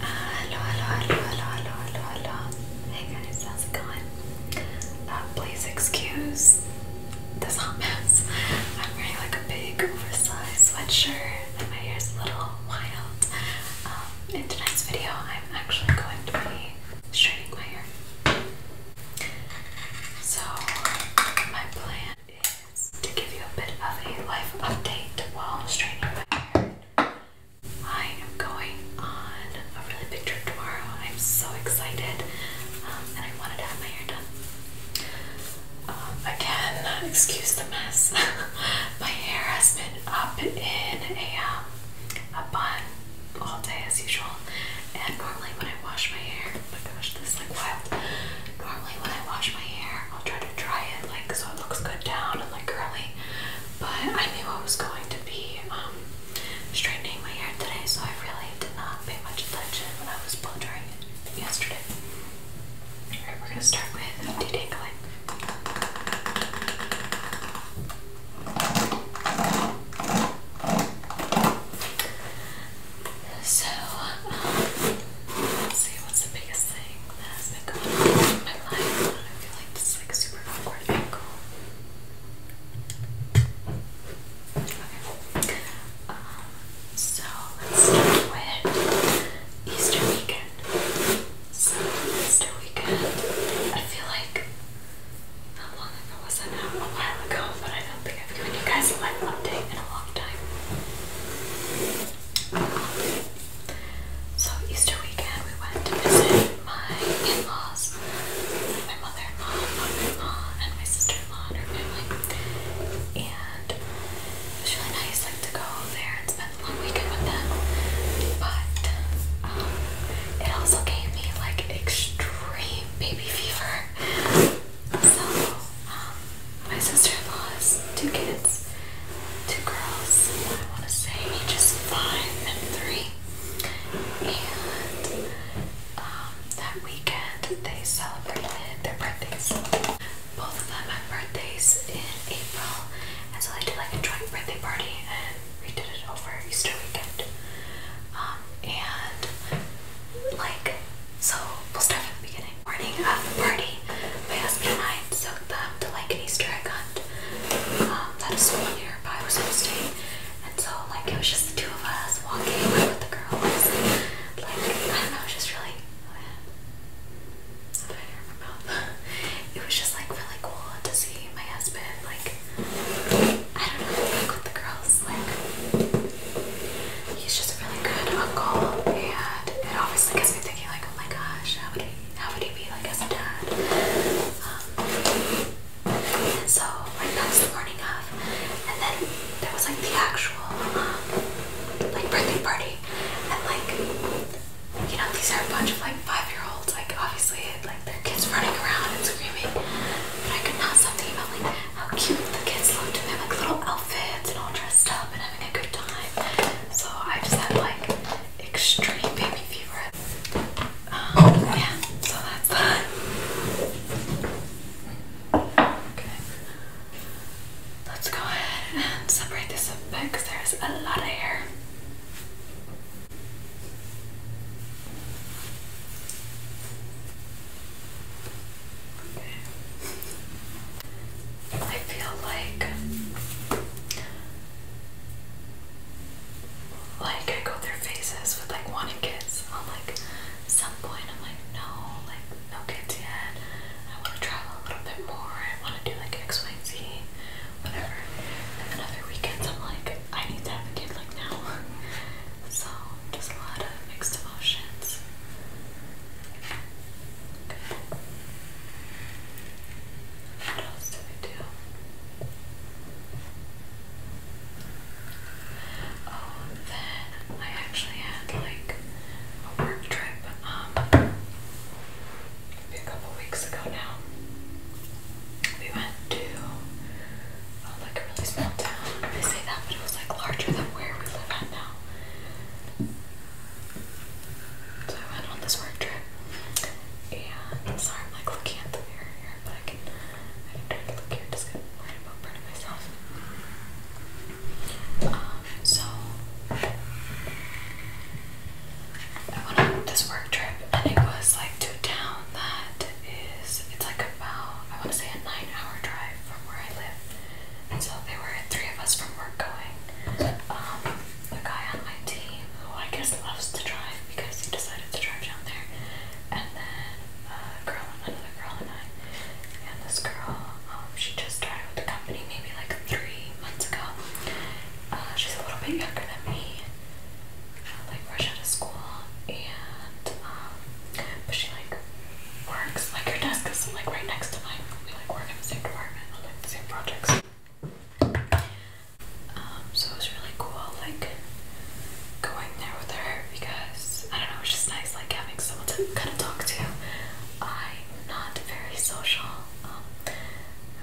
Hello, hello, hello, hello, hello, hello, hello. Hey guys, how's it going? Uh, please excuse this hot mess. I'm wearing like a big oversized sweatshirt and my hair's a little wild. Um, in tonight's video, I'm actually going to be straightening my hair. So, my plan is to give you a bit of a life update while straightening my hair. I am going on a really big trip tomorrow. I'm so excited um, and I wanted to have my hair done. Um, again, excuse the mess. my hair has been up in a, um, a bun all day as usual. And normally when I wash my hair, oh my gosh, this is like wild. Normally when I wash my hair, I'll try to try it like so it looks good down and like curly. But I knew I was going to be um, straightening my hair today, so I really did not pay much attention when I was blow drying it yesterday. Alright, we're gonna start with detangling. So, um, see what's the biggest um, so let's start with Easter weekend. So Easter weekend, I feel like not long ago was that now? A while ago, but I don't think I've given you guys a life update in a long time. So Easter weekend we went to visit my in-laws, my mother-in-law, mother-in-law, and my sister-in-law and her family. And it was really nice like to go there and spend the long weekend with them. But um, it also gave me like extreme baby fever. So um, my sister-in-law has two kids, two girls. I want to say ages five and three. And um, that weekend they celebrated their birthdays. Both of them had birthdays in April, and so they did like a joint birthday party, and we did it over Easter weekend. Um, and like, so we'll start from the beginning morning of the party, my husband and I took them to like an Easter egg hunt um, that a school nearby was hosting. And so like it was just the two of us walking like, with the girls. like I don't know, just really It was just like really cool to see my husband like I don't know, like with the girls, like he's just a really good uncle and it obviously gives me like, oh my gosh, how would he, how would he be like as a dad? Um, so like that the morning of, and then there was like the actual um, like birthday party, and like you know these are a bunch of like five-year-olds, like obviously like their kids running around and screaming, but I could not stop thinking about like how cute the kids looked, and like little outfits and all dressed up and having a good time. So I just had like extreme baby fever. Um, oh. yeah, so that's that. Okay. Let's go ahead and separate this a because there's a lot of hair. I feel like like I go through phases with like wanting kids. I'm like some point I'm like no, like no kids yet. I want to travel a little bit more. I want to do like XYZ, whatever. And then other weekends I'm like I need to have a kid like now. so just a lot of mixed emotions. What else do we do? Oh, then I actually had like a work trip um maybe a couple weeks ago now. We went to uh, like a really small town. They say that, but it was like larger than where we live at now. So I went on this work trip, and sorry I'm like looking at the mirror here, but I can I can try to look here just get worried about burning myself. Um, so I went on this work trip, and it was like to a town that is it's like about I want to say a nine-hour drive from where I live. And so they were three of us from work going. Um, the guy on my team, who I guess loves to drive because he decided to drive down there, and then a girl, another girl, and I. And this girl, um, she just started with the company maybe like three months ago. Uh, she's a little bit younger than me, like fresh out of school, and um, but she like works like her desk is like right next to mine. We like work in the same department same projects. Um, so it was really cool, like going there with her because I don't know, it was just nice, like having someone to kind of talk to. I'm not very social. Um, I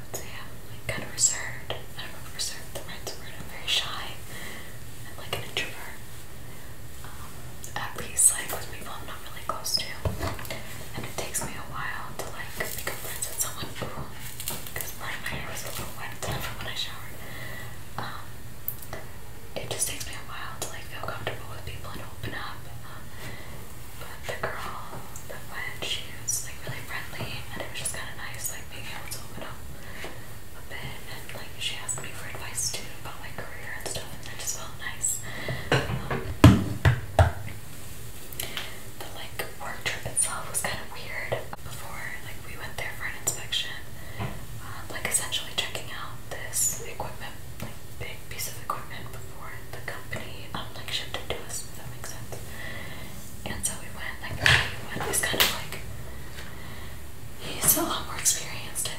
would say I'm like kind of reserved. I do reserved the right word. I'm very shy. I'm like an introvert. Um, at least like with people not really close to, and it takes me a while to like become friends with someone who, because part of my hair was a little wet from when I showered. Um, it just takes me a while to like feel comfortable with people and open up. Um, but the girl that went, she was like really friendly, and it was just kind of nice, like being able to open up a bit. And like she asked me for advice too about my career and stuff, and that just felt nice. Um, the like work trip itself was kind of weird. Before like we went there for an inspection, um, like essentially checking out this equipment, like big piece of equipment before the company um like shipped it to us. If that makes sense. And so we went like we went. It's kind of like he's a lot more experienced.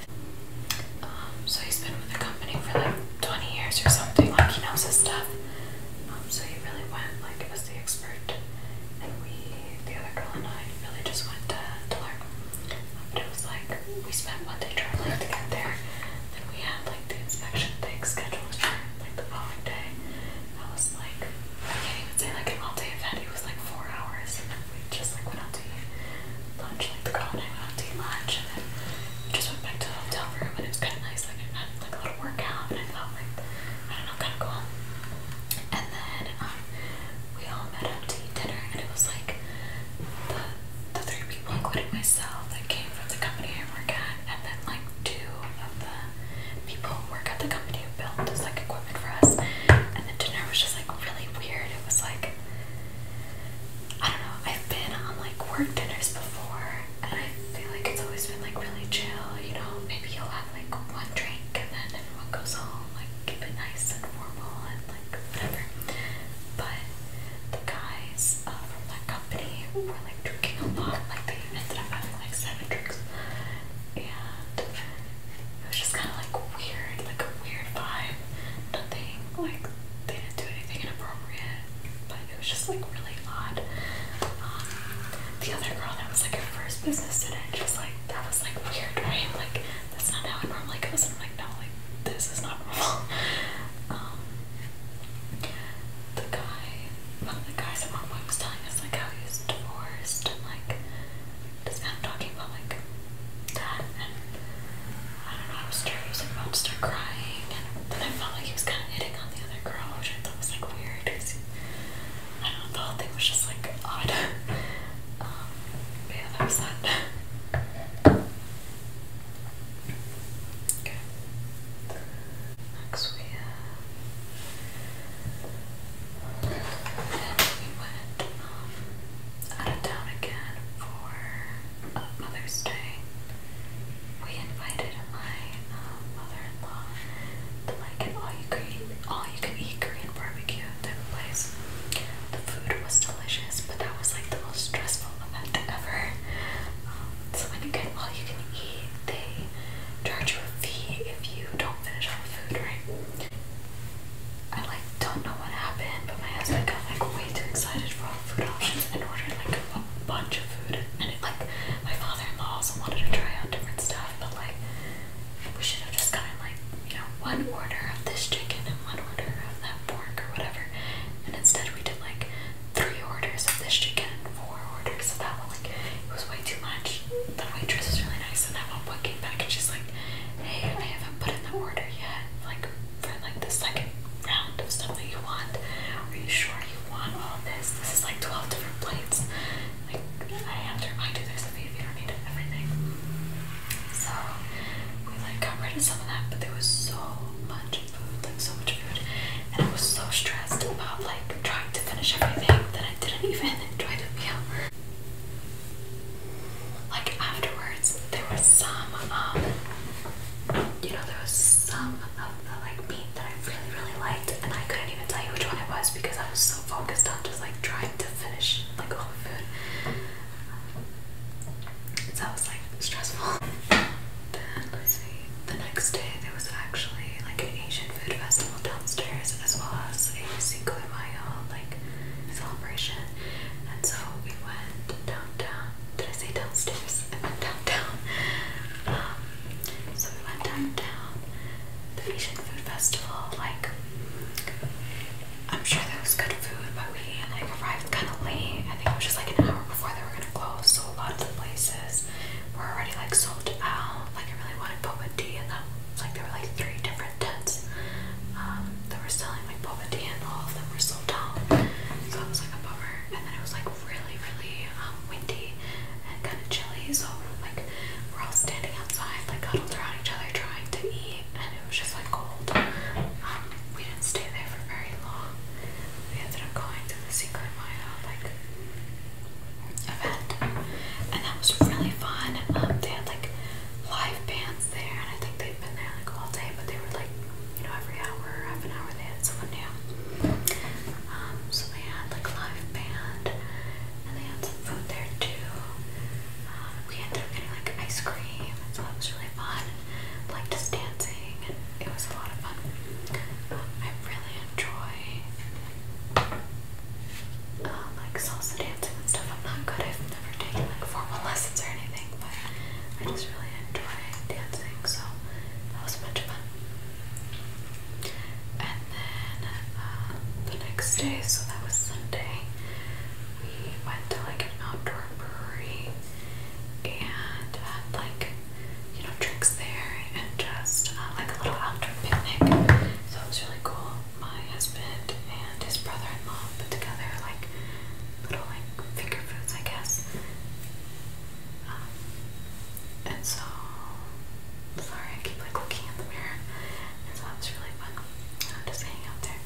Um, so he's been with the company for like 20 years or something, like he knows his stuff. Um, so he really went like as the expert, and we, the other girl and I, really just went to, to learn. Um, but it was like we spent one day traveling to get there, then we had like the inspection thing scheduled for like the following day. That was like I can't even say like an all day event. It was like four hours, and then we just like went out to eat lunch, like forgot I went out to eat lunch and then I just went back to the hotel room and it was kind of nice, like I had like a little workout and I felt like, I don't know, kind of cool. And then um, we all met up to eat dinner and it was like the, the three people including myself that came from the company I work at and then like two of the people who work at the company who built this like equipment for us and the dinner was just like really weird. It was like I don't know, I've been on like work dinners before and I feel like it's always been like really chill, you know, maybe you'll have like one drink and then everyone goes home, like keep it nice and formal and like whatever. But the guys uh, from that company were like drinking a lot, like they ended up having like seven drinks. And it was just kind of like weird, like a weird vibe. Nothing like they didn't do anything inappropriate, but it was just like really odd. Um, the other girl that was like her first business student, she was like, that was like weird, right? Like that's not how it normally goes. And I'm like, no, like this is not normal. Um, the guy, one of the guys at one point was telling us like how he was divorced and like just kind of talking about like that and I don't know, I was like, and Mom started crying and then I felt like he was kind of hitting on the other girl, which I thought was like weird I don't know, the whole thing was just like odd. um, but that was that. Okay. Next we uh, went um, out of town again for Mother's Day, we invited my um, mother-in-law to like an all you can all you can eat Korean barbecue place. The food was delicious, but that was like the most stressful event ever. Um, so when you get all-you-can-eat, they charge you a fee if you don't finish all the food, right? I like don't know what happened, but my husband got like way too excited for food options and ordered like a bunch of food. And it, like, my father-in-law also wanted to try out different stuff, but like, we should have just gotten like, you know, one order of this chicken and one order of that pork or whatever. And instead, we did like three orders of this chicken and four orders of that one. Like, it was way too much. The waitress was really nice, and that one book came back and she's like, "Hey, I haven't put in the order yet. Like, for like the second round of stuff that you want. Are you sure you want all this? This is like 12 different plates. Like, I have to I do. there's a fee if you don't need everything. So, we like got rid of some of that, but there was so much food, like so much food. And I was so stressed about like trying to finish everything that I didn't even enjoy the meal. Like afterwards, there was some um you know, there was some of the like meat that I really, really liked, and I couldn't even tell you which one it was because I was so focused on just like trying to finish like all the food. So that was like stressful. Then The next day there was actually like an Asian food festival downstairs, as well as a Cinco de Mayo like celebration, and so we went downtown I say downstairs, I went downtown. Um, so we went downtown, the Asian Food Festival, like, I'm sure there was good food, but we like arrived kind of late. I think it was just like an hour before they were gonna close, so a lot of the places were already like sold out. Like I really wanted boba tea, and that like there were like three different tents um, that were selling and like poverty and all of them were so tall. So it was like a bummer. And then it was like really, really um, windy and kind of chilly. So like we're all standing outside, like huddled around each other trying to eat. And it was just like cold. Um, we didn't stay there for very long. We ended up going to the Cinco de Mayo like event. And that was really fun. Um, they had like live bands there and I think they'd been there like all day but they were like you know, every hour, half an hour they had someone new. Um, so they had like live band and they had some food there too. Um, we ended up getting like ice cream, so that was really fun. Like just dancing, and it was a lot of fun. Um, I really enjoy uh, like salsa dancing and stuff. I'm not good. I've never taken like formal lessons or anything but I just really enjoy dancing, so that was much fun. And then uh, the next day, so that was Sunday, we went to like an outdoor brewery and had like, you know, drinks there and just uh, like a little outdoor picnic. So it was really cool. My husband and his brother in law put together like little like finger foods, I guess. Um, and so, sorry, I keep like looking in the mirror, and so that's really fun. just hanging out there.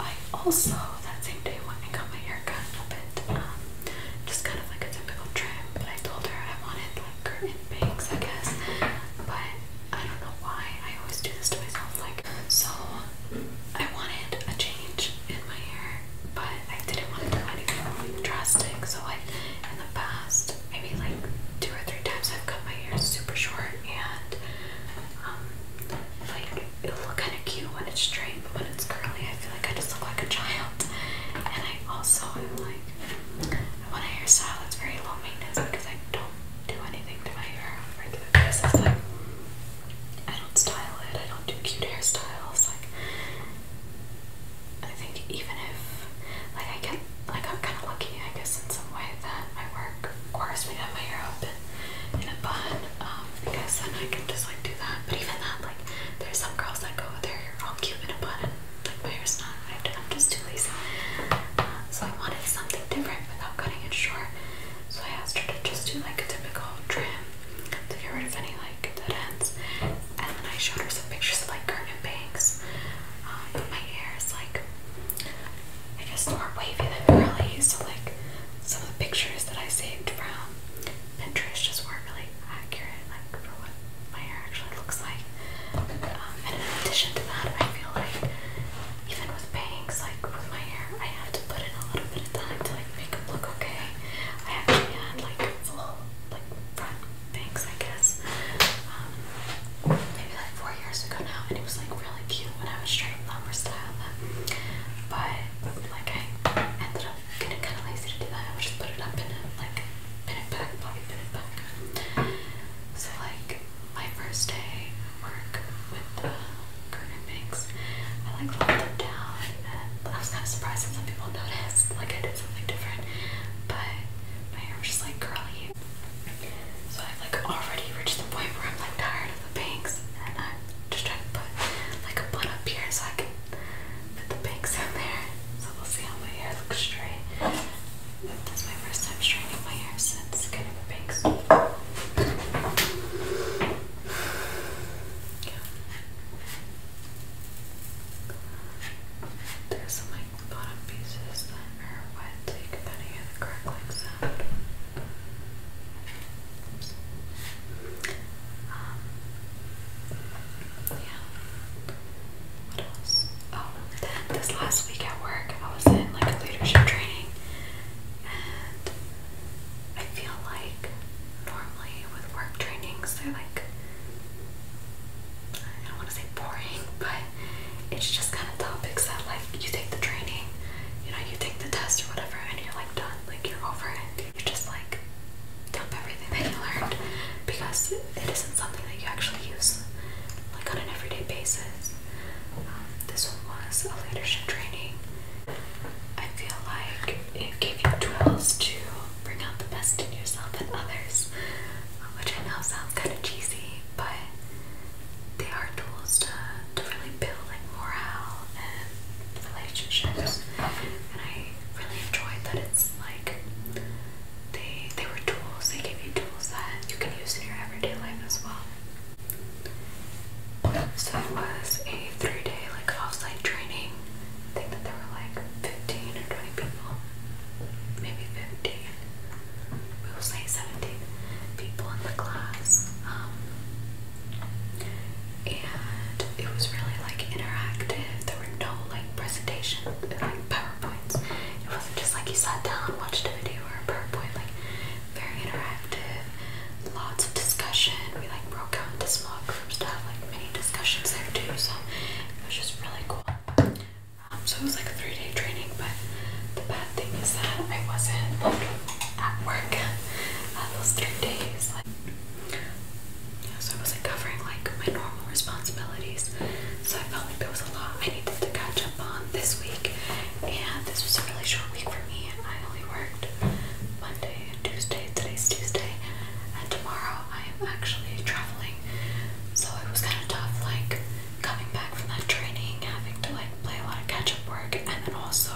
I also that same day went and got my hair cut a bit, um, just kind of like a typical trim. But I told her I wanted like curtain bangs, I guess. But I don't know why I always do this to myself. Like so, I wanted a change in my hair, but I didn't want to do anything drastic. So like in the past, maybe like two or three times, I've cut my hair super short and um, like it'll look kind of cute when it's straight, but when it's curly, I feel like I just look like a child. And I also am like, I want a hairstyle that's very low maintenance because I don't do anything to my hair. This is like I don't style it, I don't do cute hairstyles, like I think even if like I get like I'm kinda lucky I guess in some way that my work requires me to have my hair up in, in a bun, um, because then I can just like do that. But even that, like there's some girls that go with their hair all cute in a bun and like my hair's not, I'm just too lazy. Uh, so I wanted something different without cutting it short. So I asked her to just do like a typical trim to get rid of any like dead ends. And then I showed her some pictures of like curtain bangs. Um, my hair is like, I guess more wavy than curly. So like some of the pictures that I saved from Pinterest just weren't really accurate like for what my hair actually looks like. Um, and in addition to that, I feel like even with bangs, like with my hair, I have to put in a little bit of time to like make look okay. I actually had like full like front bangs, I guess. Um, maybe like four years ago now, and it was like really cute when I was trying to lumber style them. But like I ended up getting kind of lazy to do that. I just put it up in it, like pin it back, probably pin it back. So like my first day work with the curtain bangs. I like locked it down and I was kind of surprised that some people noticed like I did something different but my hair was just like curly. So I've like already reached the point where I'm like tired of the bangs and I'm just trying to put like a bun up here so I can put the bangs in there. So we'll see how my hair looks straight. This my first time straightening my hair since getting the bangs. There's some like bottom pieces that are wet, so you of the crackling sound. Um, yeah. What else? Oh, then this last week at work, I was in like a leadership training, I feel like normally with work trainings, they're like, I don't want to say boring, but it's just kind of topics that, like, you take the training, you know, you take the test or whatever, and you're like done, like, you're over it. You just like dump everything that you learned because it isn't something that you actually use, like, on an everyday basis. Um, this one was a leadership training. I feel like it gave you tools to bring out the best in yourself and others, um, which I know sounds kind of cheesy, but they are tools to, to really build like morale and relationships. And I really enjoyed that it's like they they were tools, they gave you tools that you can use in your everyday life as well. So it was a three day like offsite training. I think that there were like 15 or 20 people, maybe 15. We will say 17 people in the class. Um, and it was really like interactive. There were no like presentations, like PowerPoints. It wasn't just like you sat down, watched a video or a PowerPoint, like very interactive lots of discussion. We like broke out into small groups to have like mini discussions there too, so it was just really cool. Um, so it was like a three day training, but the bad thing is that I wasn't like at work uh, those three days. Like, so I wasn't covering like my normal responsibilities, so I felt like there was a lot I needed to catch up on this week, and this was a really short week for me. I only worked Monday and Tuesday. Today's Tuesday. And tomorrow I am actually traveling. So it was kind of tough, like coming back from that training, having to like play a lot of catch up work, and then also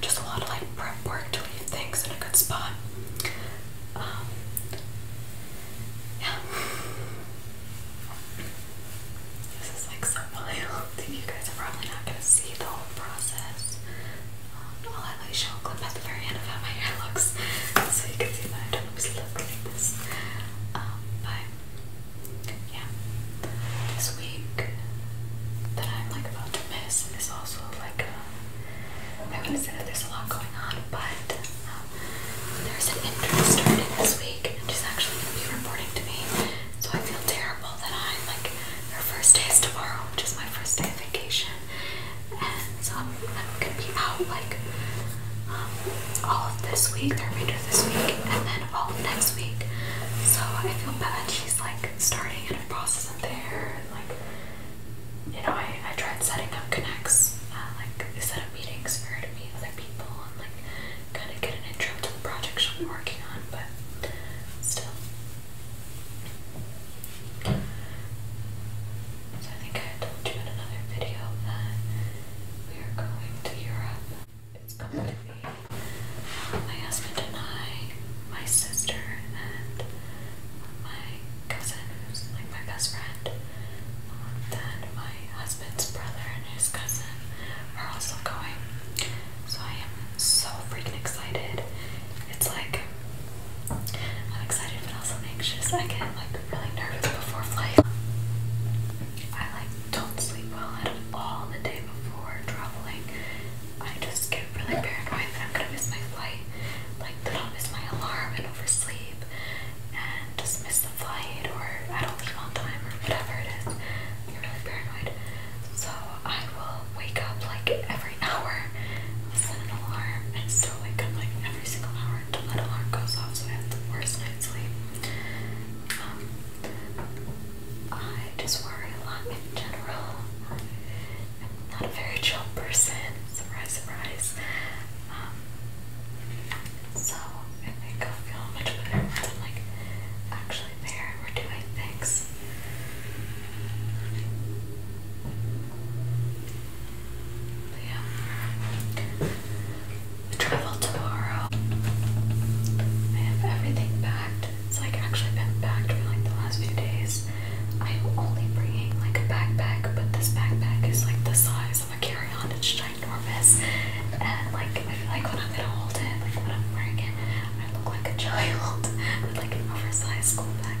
just a lot of like prep work to leave things in a good spot. Um, yeah. This is like so wild you guys are probably not going to see the whole process. Um, I'll at least show a clip at the very end of how my hair looks so you can see that I always look like this. Um, yeah, this week that I'm like about to miss is also like a, uh, I wouldn't say that there's a lot going on, but um, there's an intern starting this week and she's actually going to be reporting to me. So I feel terrible that I'm like her first day is tomorrow, which is my first day of vacation. And so I'm, gonna be out like um, all of this week, the remainder of this week, and then all of next week. So I feel bad. She's like starting and her boss isn't there. And, like, you know, I, I tried setting up connects, uh, like set up meetings for her to meet other people and like kind of get an intro the projects I'm working on, but still. So I think I told you in another video that we are going to Europe. It's going to be my husband and I, my sister, and my cousin, who's like my best friend. Um, then my husband's brother and his cousin are also going, so I am so freaking excited. It's like I'm excited but also anxious. I get like really nervous before flight. I like don't sleep well at all the day before traveling. I just get really paranoid that I'm gonna miss my flight. Like that i miss my alarm and oversleep and just miss the flight or I don't leave on time or whatever it is. I get really paranoid. So I will wake up like every hour, set an alarm, and still like every single hour until alarm goes off, so I have the worst night's sleep. Um, I just worry a lot in general. I'm not a very chill person, surprise, surprise. Um, so I I'll feel much better I'm like actually we're doing things. We Travel tomorrow. I have everything packed. It's like actually been packed for like the last few days. I'm only bringing like a backpack, but this backpack is like the size of a carry-on. It's ginormous, and like I feel like when I'm gonna hold it, like when I'm wearing it, I look like a child with like an oversized school bag.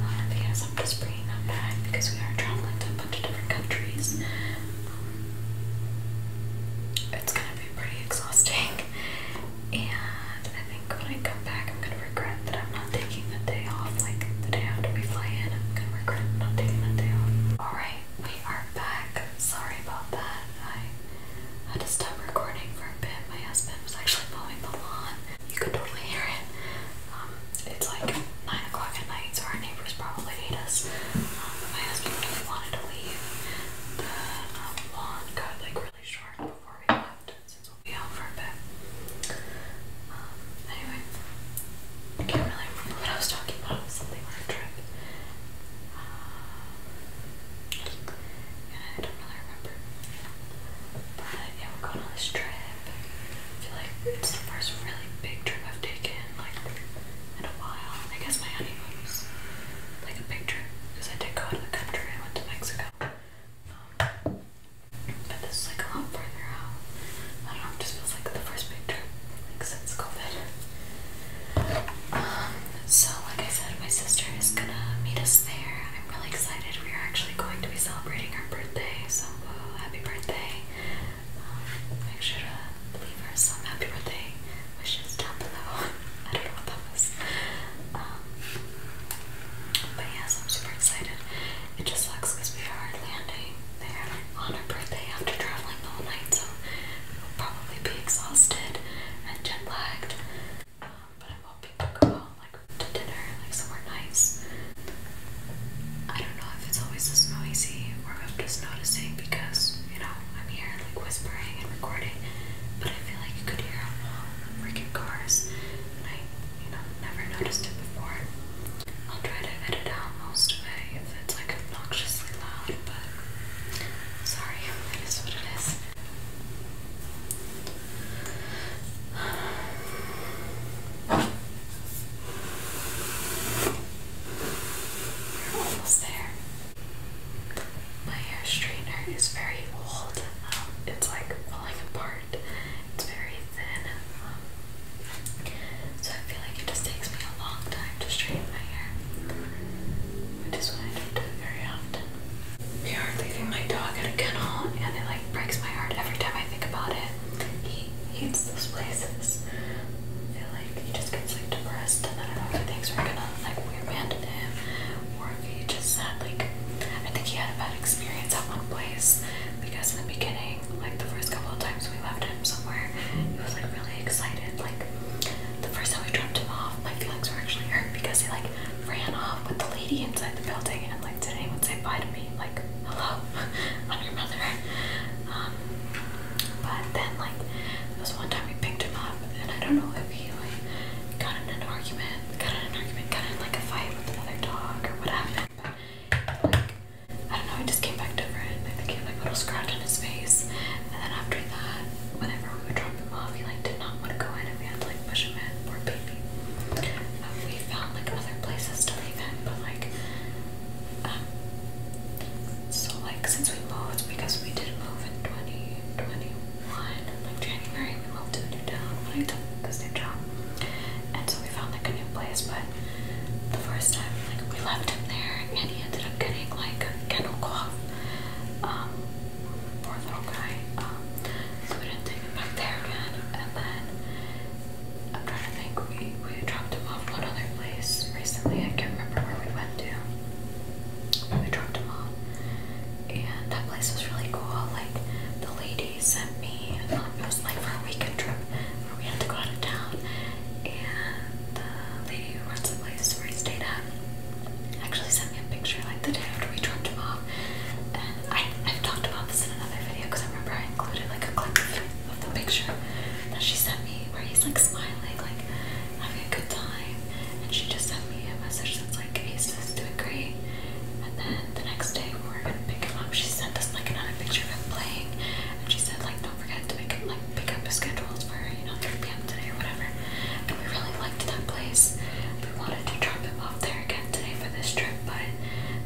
Um, but yes, I'm just bringing that back because we are traveling to a bunch of different countries. Um, it's gonna be pretty exhausting, and I think when I come back, I'm gonna regret that I'm not taking the day off. Like the day after we fly in, I'm gonna regret not taking that day off. All right, we are back. Sorry about that. I I had to stop recording for a bit. My husband was actually mowing the lawn. You could totally hear it. Um, it's like 9 o'clock at night, so our neighbors probably hate us. Um, my husband really wanted to leave. The um, lawn got like really short before we left, since we'll be out for a bit. Um, anyway, I can't really remember what I was talking about. something like I don't really remember. But yeah, we're going on this trip. I feel like it's the first really big trip I've taken like in a while. I guess my honeymoon was like a big trip because I did go out of the country. I went to Mexico. Um, but this is like a lot further out. I don't know, it just feels like the first big trip since COVID. Um, so, like I said, my sister is gonna meet us there. I'm really excited. We are actually going to be celebrating our birthday, so uh, happy birthday. Um, make sure to leave her happy birthday wishes down below. I don't know what that um, but yes, I'm super excited. It just sucks because we are landing there on her birthday after traveling the whole night, so probably be exhausted and jet lagged. Um, but I'm hoping to go out like to dinner, like somewhere nice. I don't know if it's always this noisy or if I'm just noticing because you know I'm here like whispering and recording, but I feel like you could hear all the freaking cars, and I you know never noticed it before. I'll try to edit out most of it if it's like obnoxiously loud, but Sorry, that is what it is. We're almost there. My hair straightener is very old. Um, it's like falling apart. It's very thin. Um, so I feel like it just takes me a long time to straighten my hair which is why I don't do very often. We are leaving my dog at a kennel, and it like breaks my heart every time I think about it. He hates those places. I feel like he just gets like depressed, and then I don't know if he thinks we're gonna like we abandon him, or if he just had like I think he had a bad experience at one place because in the beginning, like the first couple of times we left him somewhere, he was like really excited, like the first time we dropped him off, my feelings were actually hurt because he like ran off with the lady inside the building and like didn't even say bye to me. Like, hello, I'm your mother. Um, but then like there was one time we picked him up and I don't know if he like got in an argument, got in an argument, got in like a fight with another dog or what happened. But like I don't know, he just came back different. I think he had like a little scratch on his face. And then after that, whenever we would drop him off, he like did not want to go in, and we had to like push him in. Poor baby. Um, we found like other places to leave him, but like, um, so like since we moved, because we did move in 2021, like January, we moved to a new town when I took this new job, and so we found like a new place. But the first time, like we left him there, and he ended up getting like kennel cough um, poor little guy, um, so we didn't take him back there again, and then, I'm trying to think, we, we dropped him off at another place recently, I can't remember where we went to, we dropped him off, and that place was really cool, like, the lady sent me, um, it was like for a weekend trip, where we had to go out of town, and the lady who runs the place where I stayed at actually sent me a picture like the day after we dropped him off. And I, I've talked about this in another video because I remember I included like a clip of the picture that she sent me where he's like smiling, like having a good time. And she just sent me a message that's like, he's just doing great. And then the next day when we were gonna pick him up. She sent us like another picture of him playing, and she said like, don't forget and like pick up his schedules for you know 3 p.m. today or whatever. And we really liked that place. We wanted to drop him off there again today for this trip, but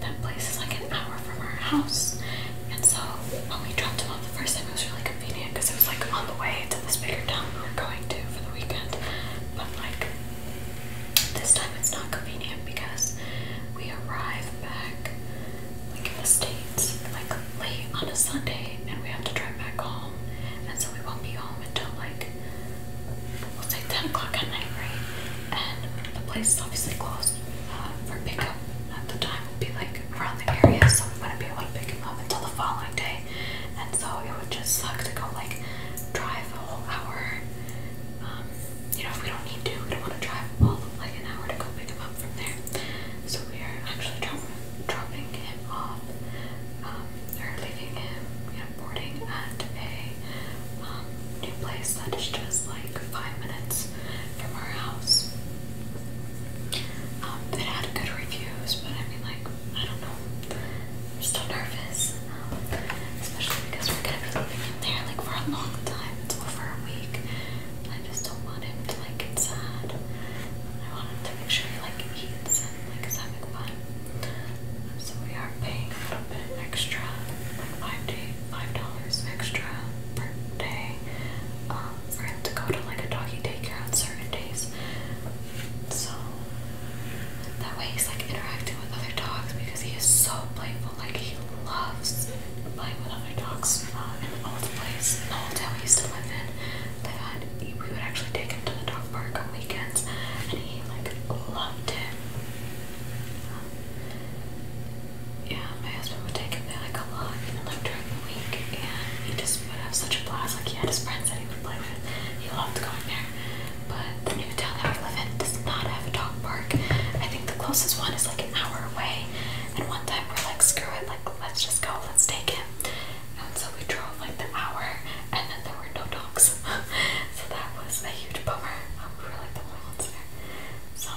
that place is like an hour from our house. And so when we dropped him off the first time, it was really convenient because it was like on the way to this bigger town we were going to for the weekend. But like this time, it's not convenient because we arrive back like in the states like late on a Sunday, and we have to drive back home and so we won't be home until like we'll say 10 o'clock at night, right? And the place is obviously closed uh, for pickup at the time. We'll be like around the area, so we wouldn't be able to pick him up until the following day, and so it would just suck to go like drive a whole hour. Um, you know, if we don't need to, we don't want to drive all like an hour to go pick him up from there. So we are actually dropping him him off leaving him, you know, boarding at a um, new place that is just like five minutes from our house. Um, it had good reviews, but I mean, like, I don't know. I'm still nervous, um, especially because we're gonna be living there like for a long time. It's a week. I just just don't want him to like get sad. I want him to make sure he like eats and like is having fun. So we are paying a little bit extra, like five dollars extra per day, um, for him to go to like a doggy daycare on certain days. So that way he's like interacting with other dogs because he is so playful. Like he loves playing with other dogs. Um, in the old place, in the hotel he used to live in, that we would actually take him to the dog park on weekends, and he like loved it. Um, yeah, my husband would take him there like a lot, even like during the week, and he just would have such a blast. Like he had his friends that he would play with. He loved going there. But the new town that we live in does not have a dog park. I think the closest one is like an hour away. And one time we're like, screw it, like let's just go, let's take him. And so we drove like the hour and then there were no dogs. so that was a huge bummer. Um, we were like the only ones there. So,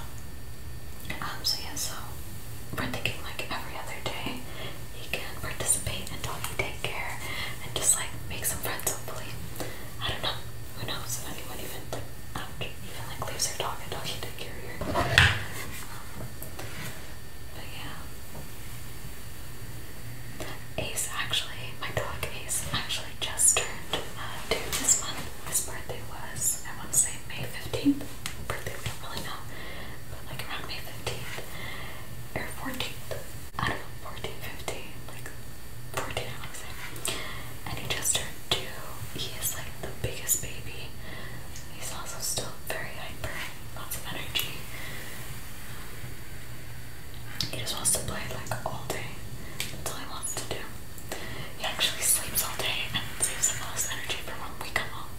um, so yeah, so we're thinking like every other day he can participate in doggy daycare and just like make some friends hopefully. I don't know. Who knows if anyone even like, um, even like leaves their dog at doggy daycare here. Um, but yeah. Ace actually, my dog Ace actually just turned uh, two this month. His birthday was, I want to say May 15th. Birthday, we don't really know. But like around May 15th. Or 14th. I don't know, 14, Like 14, I want to And he just turned two. He is like the biggest baby. He's also still very hyper lots of energy. He just wants to play like all day. That's all he wants to do. He actually sleeps all day and saves up all his energy for when we come home.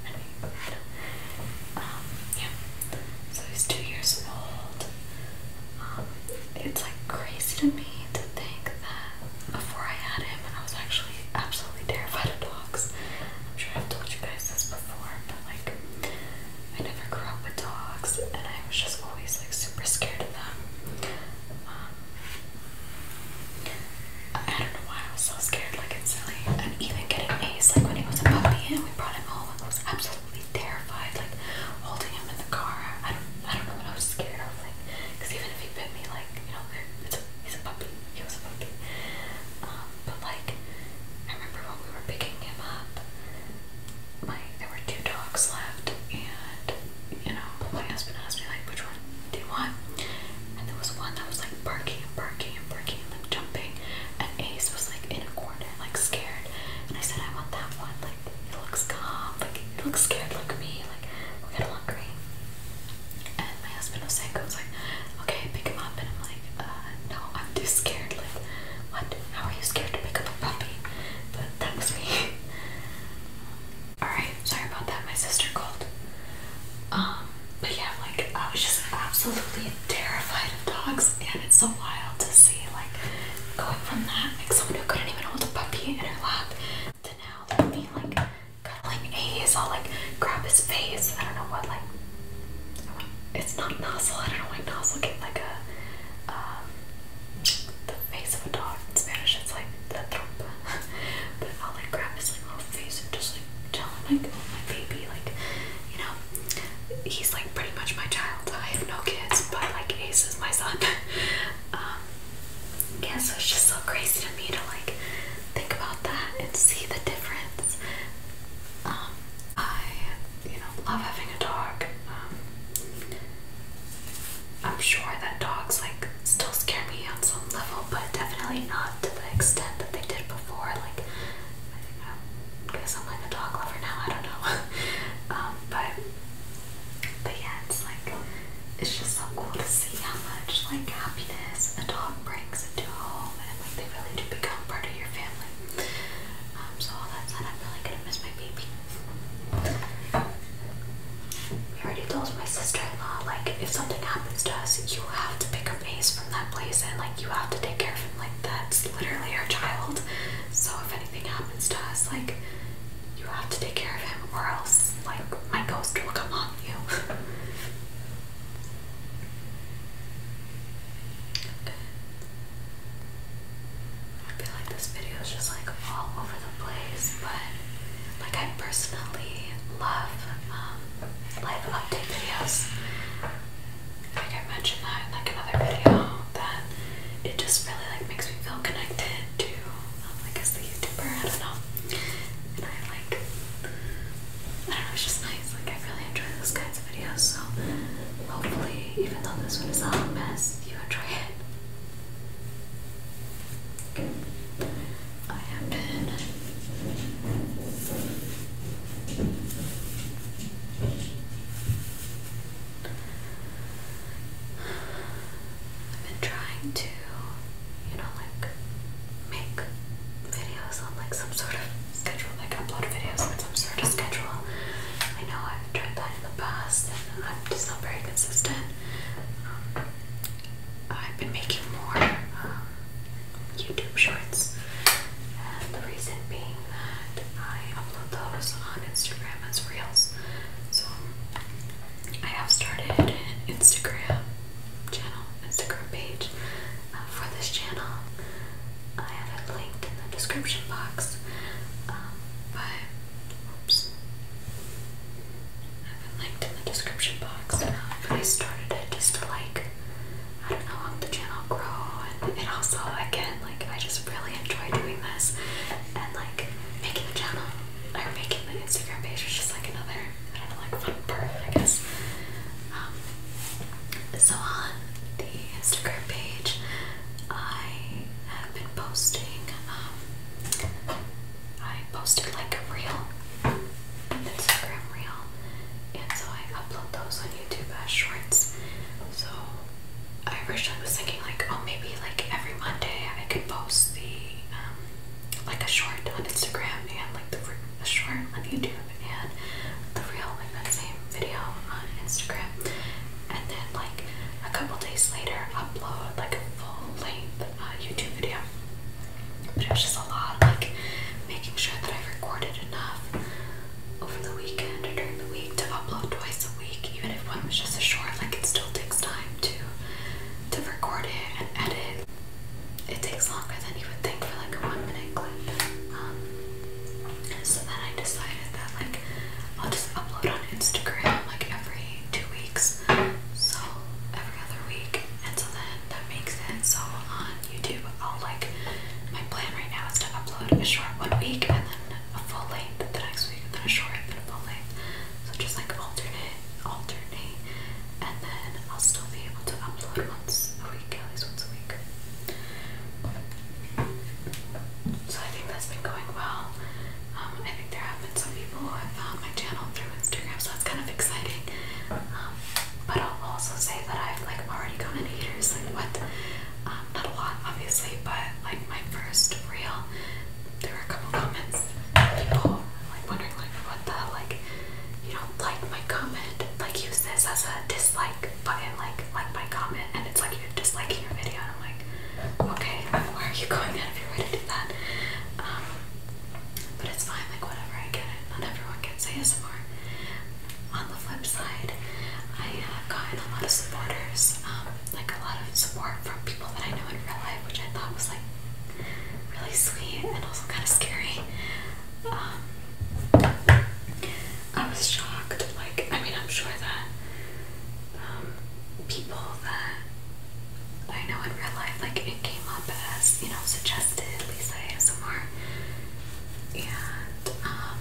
Um, yeah. So he's two years old. Um, it's like crazy to me to think that before I had him, I was actually absolutely terrified of dogs. I'm sure I've told you guys this, before, but like I never grew up with dogs, and I was just always like super scared of them. Um, I don't know why I was so scared. Like it's silly. And even getting Ace, like when he was a puppy, and we brought him home, I was absolutely terrified. Like holding him in the car, I don't, I don't know what I was scared of. Like, because even if he bit me, like you know, it's a, he's a puppy. He was a puppy. Um, but like I remember when we were picking him up, my there were two dogs left, and you know, my husband asked me like, which one do you want? And there was one that was like barking and barking and barking and like jumping, and Ace was like in a corner, like scared, and I said, I want that one, like it looks calm, like it looks scared, Look at me, like we'll get along great. And my husband was saying, I like, okay, pick him up. And I'm like, uh, no, I'm too scared. Like, what? How are you scared to pick up a puppy? But that was me. Alright, sorry about that. My sister called. Um, but yeah, like, I was just absolutely terrified of dogs. And it's so wild to see, like, going from that, like, someone who couldn't even hold a puppy in her lap to now, like, like, cuddling Ace. I'll like grab his face. I don't know what like. it's not nozzle. I don't know why nozzle get like a um, the face of a dog in Spanish. It's like the trompa. but I'll like grab his like little face and just like telling like oh, my baby like you know he's like pretty much my child. I have no kids, but like Ace is my son. um, yeah, so it's just so crazy to me to like think about that and see the difference. Um, I, you know, love having a dog. Um, I'm sure that dogs like still scare me on some level, but definitely not to the extent that they did before. Like, I think i I'm like a dog lover now. I don't know. Um, but but yeah, it's like it's just so cool to see how much like happiness a dog brings into a home, they really do become part of your family. Um, so all that said, I'm really gonna miss my baby. We already told my sister-in-law, like, if something happens to us, you have to pick up Ace from that place and like you have to take care of him. Like that's literally her child. So if anything happens to us, like you have to take care of him or else like my ghost will come on you. I feel like this video is just like all over the place, but like I personally love um, live update videos. Like I mentioned that in like another video, that it just really like makes me feel connected to, Like, um, I the YouTuber. I don't know, and I like I don't know, it's just nice. Like, I really enjoy those kinds of videos, so hopefully, even though this one is all a mess, you enjoy it. I have been I've been trying to you know, like make videos on like some sort of schedule, like upload videos on some sort of schedule. I know I've tried that in the past and I'm just not very consistent. Um, I've been making more um, YouTube shorts, and the reason being that I upload those on Instagram as reels. So I have started Instagram channel, Instagram page uh, for this channel. I have it linked in the description box. Um, but, oops. I have it linked in the description box. Um, I started it just to like, I don't know, how the channel grow. And, and also, again, like, I just really enjoy doing this. And like, making the channel, or making the Instagram page was just like another I don't know, like fun part, I guess. Um, so on the Instagram page, I have been posting. Um, I posted like a reel, an Instagram reel, and so I upload those on YouTube as shorts. So I originally was thinking like, oh, maybe like every Monday I could post the um, like a short on Instagram and like the a short on YouTube and the real in that same video on Instagram, and then like a couple days later upload like a full length uh, YouTube video. But it just a lot like making sure that I recorded enough over the weekend or during the week to upload twice a week, even if one was just a short. Like it still takes time to to record it and edit it takes longer than you would think for like a one minute clip. Um, so then I decided that like I'll just upload on Instagram like every two weeks, so every other week, and so then that makes it so on YouTube I'll like my plan right now is to upload a short one week and then a full length the next week and then a short and then a full length. So just like alternate alternate and then I'll still be able to upload once a week, at least once a week. So I think that's been going well. Um, I think there have been some people who have found my channel through Instagram, so that's kind of exciting. Um, but I'll also say that I've like already gotten haters, like what? Um, not a lot, obviously, but like my first real. there were a couple comments, people like wondering like what the like you don't like my comment, like use this as a dislike button, like like my comment, and it's like you're disliking your video. And I'm like, okay, why are you going out of your way to do that? Um, but it's fine, like whatever, I get it. Not everyone gets ASMR. On the flip side, I have gotten a lot of supporters, um, like a lot of support from people that I know in real life, which I thought was like really sweet and also kind of scary. Um, I was shocked. Like, I mean, I'm sure that um, people that I know in real life, like, it came up as, you know, suggested Lisa ASMR. And, um,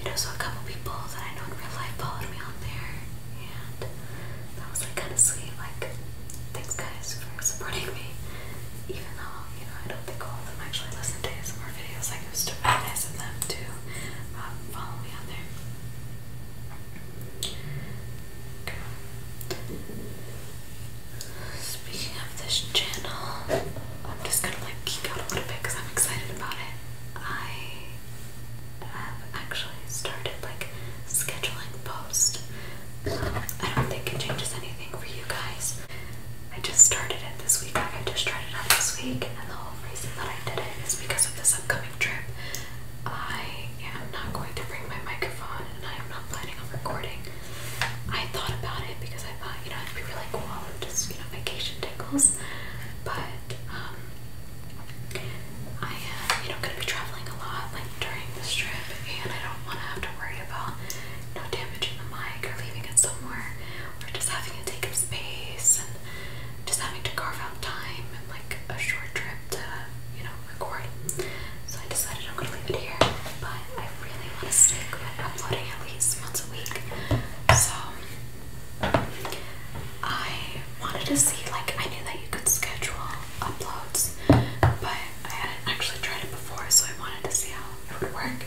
you know, so a couple people that I know in real life followed me on there. And that was, like, kind of sweet. Like, Thanks guys for supporting me. Even though, you know, I don't think all of them actually listen to ASMR videos, like it was really nice of them to um, follow me on there. Speaking of this channel, I'm just gonna like geek out a little bit because I'm excited about it. I have actually started like scheduling post. I don't think it changes anything for you guys. I just started it this week. I just tried it out this week, and the whole reason that I did it is because of this upcoming trip. I am not going to bring my microphone, and I am not planning on recording. I thought about it because I thought, you know, it'd be really cool and just, you know, vacation tickles. But um, I am, you know, gonna be traveling a lot like during this trip, and I don't want to have to worry about no damaging the mic or leaving it somewhere or just having to take up space and just having to carve out time and like a short trip to you know record. So I decided I'm gonna leave it here, but I really want to stick with uploading at least once a week. So I wanted to see like I knew that you could schedule uploads, but I hadn't actually tried it before, so I wanted to see how it would work.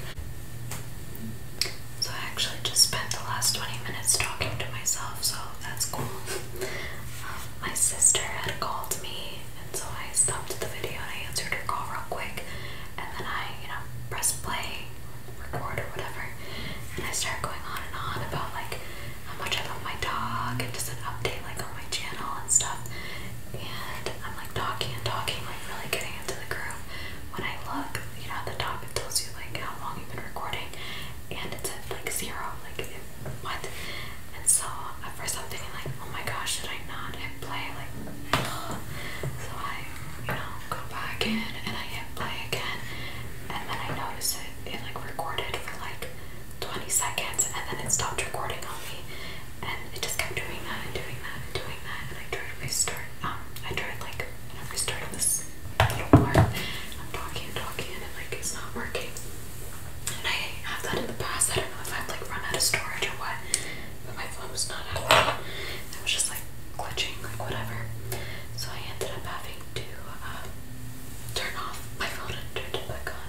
So I actually just spent the last 20 minutes talking to myself, so that's cool. Um, my sister had called me, and so I stopped the video and I answered her call real quick, and then I, you know, pressed play, record, or whatever, and I started going on and on about like how much I love my dog and just an update like on my channel and stuff and I'm like talking and talking, like really getting into the groove. When I look, you know, at the top it tells you like how long you've been recording, and it's at like zero, like what? And so at first I'm thinking like, oh my gosh, should I not hit play? Like, so I, you know, go back in and I hit play again, and then I notice it, it like recorded for like 20 seconds and then it stopped recording on me and it just kept doing that and doing that and doing that and I tried to restart um I tried like restarting this little part I'm talking and talking and like it's not working and I have that in the past I don't know if I've like run out of storage or what but my phone was not out of it it was just like glitching like whatever so I ended up having to um, turn off my phone and turn it back on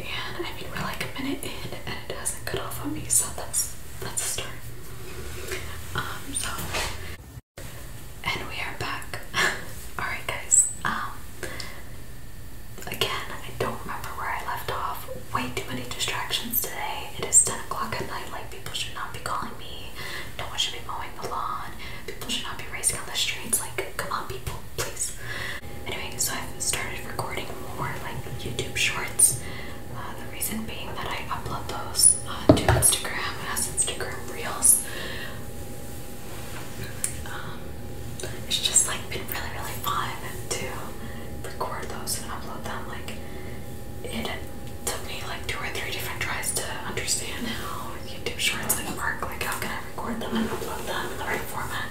and I mean we're like a minute in and it hasn't cut off on me, so that's that's a start. Um, so and we are back. Alright guys. Um again I don't remember where I left off. Way too many distractions today. It is 10 o'clock at night, like people should not be calling me. No one should be mowing the lawn. People should not be racing on the Like, come on people, please. Anyway, so I've started recording more like YouTube shorts. Uh, the reason being that I upload those uh, to Instagram as Instagram Reels. Um, it's just like been really, really fun to record those and upload them. Like it took me like two or three different tries to understand how YouTube Shorts like work. Like how can record them and upload them in the right format.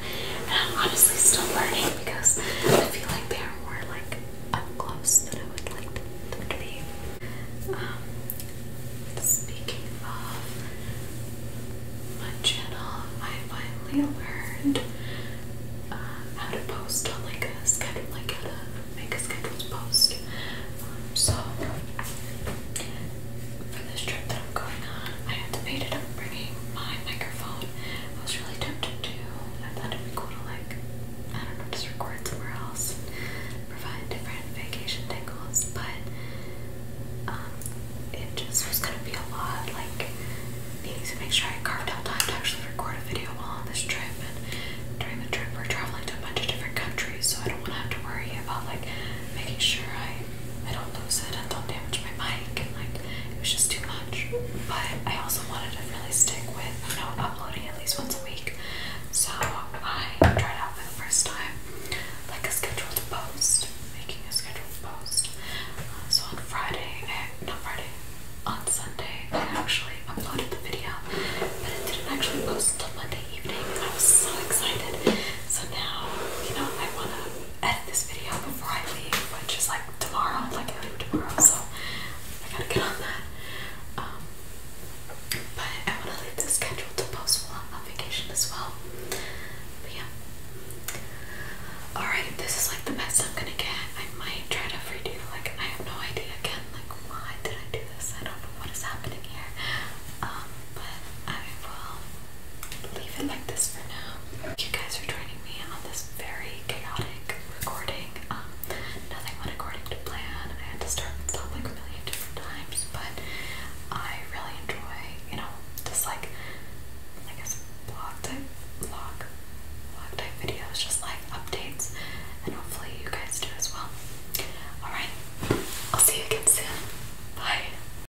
And I'm honestly still learning because I feel like they are more like up close than I would like them to be. Um, speaking of my channel, I finally learned uh, how to post on like a schedule, like how to make a scheduled post. Um, so for this trip that I'm going on, I anticipated on bringing my microphone. I was really tempted to. I thought it'd be cool to like, I don't know, just record somewhere else provide different vacation tingles, but um, it just was gonna be a lot. Like needing to make sure I carved out time to actually record a video while on this trip, and during the trip we're traveling to a bunch of different countries, so I don't want to have to worry about like making sure I I don't lose it and don't damage my mic and like it was just too much. But I also wanted to really stick with, you know, uploading at least once a week. So I tried out for the first time like a scheduled post, making a scheduled post. Uh, so on Friday, I, not Friday, on Sunday, I actually uploaded the video, but it didn't actually post until Monday evening, I was so excited. So now, you know, I want to edit this video before I leave, which is like tomorrow, like I leave tomorrow, so I gotta get on that. Um, but I wanna leave this schedule to post while I'm on vacation as well. But yeah. Alright, this is like the best I'm gonna get. I might try to redo, like, I have no idea again, like, why did I do this? I don't know what is happening here. Um, but I will leave it like this for now you guys are joining me on this very chaotic recording. Um, nothing went according to plan. I had to start and stop like a million different times, but I really enjoy, you know, just like I guess vlog type vlog vlog type videos, just like updates, and hopefully you guys do as well. Alright, I'll see you again soon. Bye.